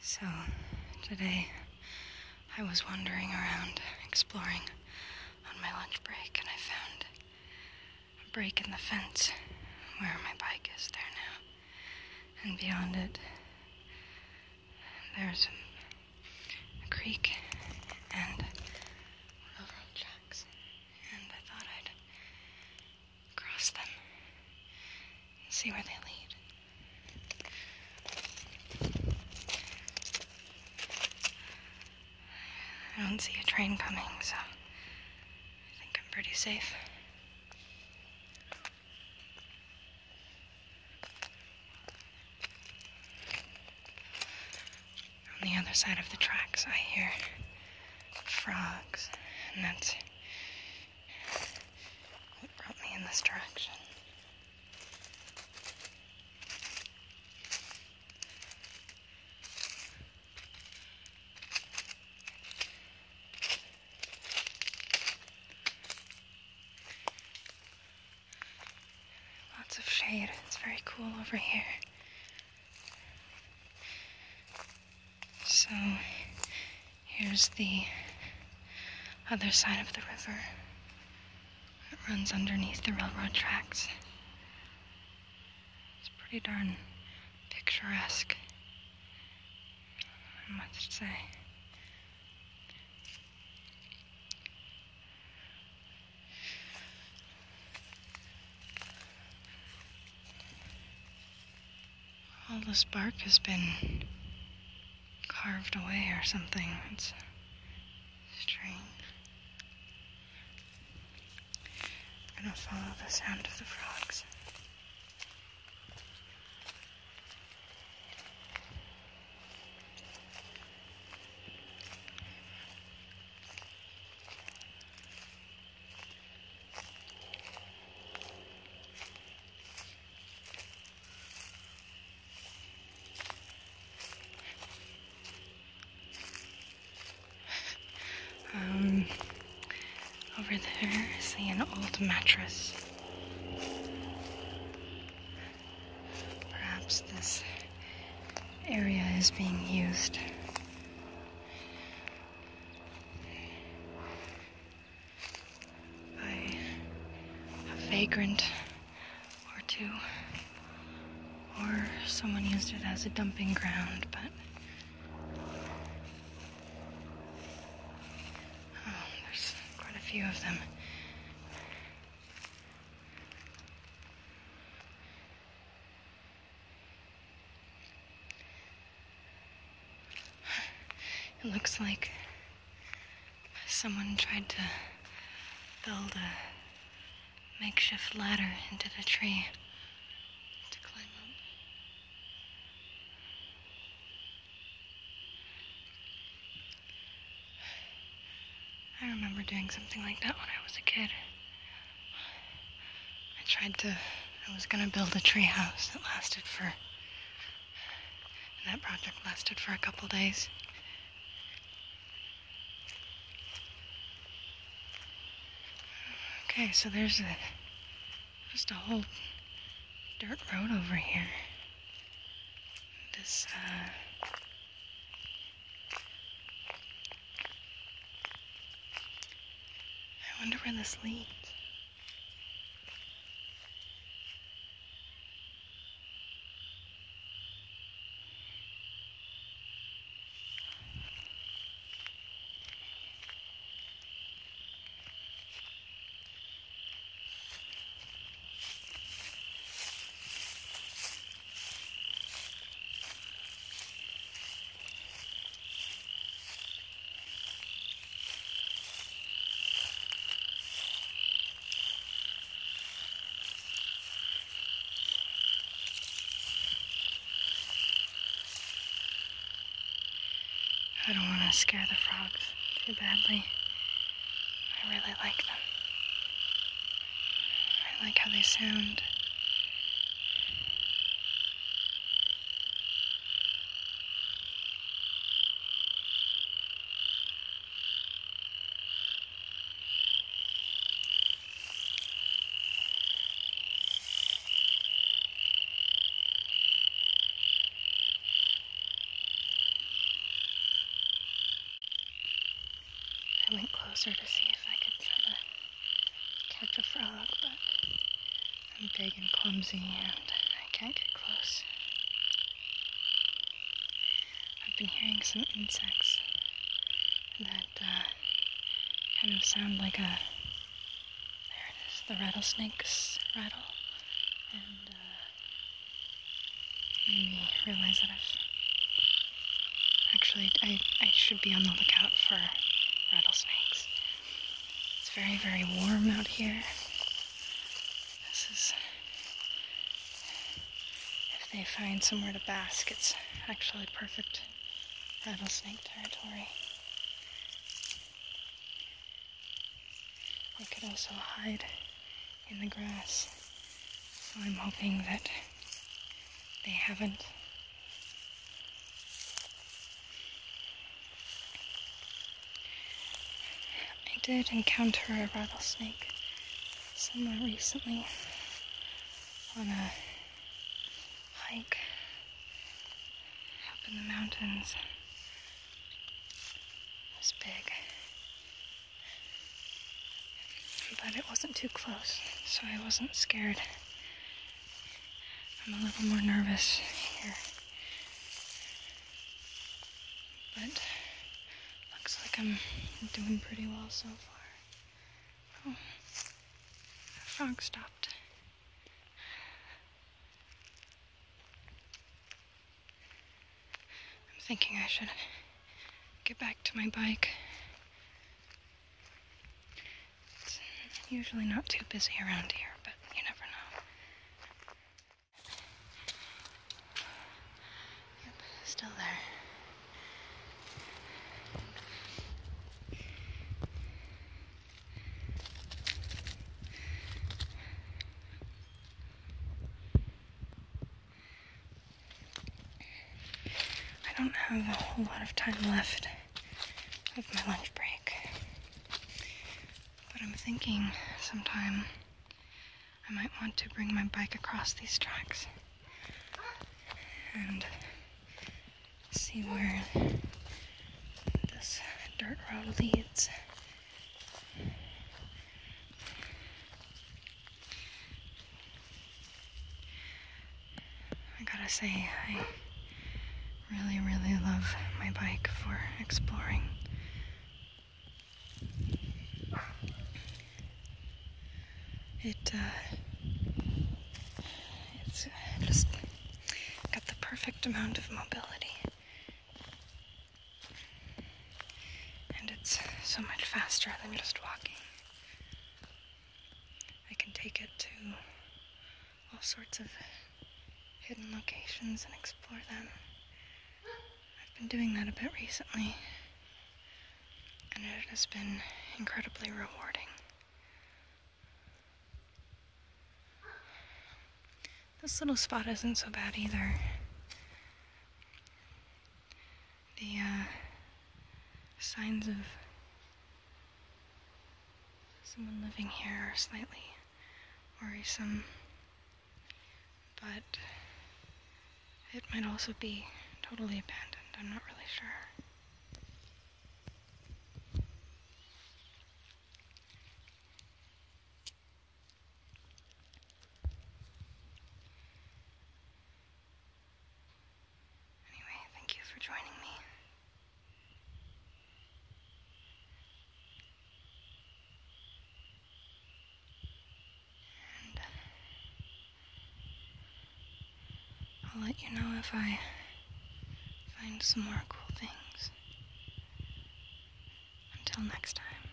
So, today I was wandering around exploring on my lunch break and I found a break in the fence where my bike is there now. And beyond it, there's a creek and railroad tracks. And I thought I'd cross them and see where they lead. I don't see a train coming, so I think I'm pretty safe. On the other side of the tracks, I hear frogs, and that's it. It brought me in this direction. Lots of shade. It's very cool over here. So here's the other side of the river. It runs underneath the railroad tracks. It's pretty darn picturesque, I must say all this bark has been carved away or something. It's strange. I'm gonna follow the sound of the frogs. Um, over there I an old mattress. Perhaps this area is being used by a vagrant or two, or someone used it as a dumping ground, but. Oh, there's quite a few of them. It looks like someone tried to build a makeshift ladder into the tree to climb up. I remember doing something like that when I was a kid. I tried to, I was gonna build a tree house that lasted for, that project lasted for a couple days. Okay, so there's a, just a whole dirt road over here. This, uh, I wonder where this leads. I don't want to scare the frogs too badly. I really like them. I like how they sound. I went closer to see if I could try to catch a frog, but I'm big and clumsy and I can't get close. I've been hearing some insects that uh, kind of sound like a. There it is, the rattlesnake's rattle. And uh, made realize that I've Actually, I, I should be on the lookout for rattlesnakes. It's very, very warm out here. This is... If they find somewhere to bask, it's actually perfect rattlesnake territory. They could also hide in the grass. So I'm hoping that they haven't. I did encounter a rattlesnake somewhere recently on a hike up in the mountains. It was big. But it wasn't too close, so I wasn't scared. I'm a little more nervous here. But looks like I'm doing pretty well so far. Oh, that frog stopped. I'm thinking I should get back to my bike. It's usually not too busy around here, but you never know. Yep, still there. I don't have a whole lot of time left of my lunch break. But I'm thinking sometime I might want to bring my bike across these tracks and see where this dirt road leads. I gotta say, I really, really love my bike for exploring. It, uh, it's uh, just got the perfect amount of mobility. And it's so much faster than just walking. I can take it to all sorts of hidden locations and explore them. I've been doing that a bit recently, and it has been incredibly rewarding. This little spot isn't so bad either the uh, signs of someone living here are slightly worrisome, but it might also be totally abandoned. I'm not really sure. Anyway, thank you for joining me. Uh, I'll let you know if I find some more cool things. Until next time.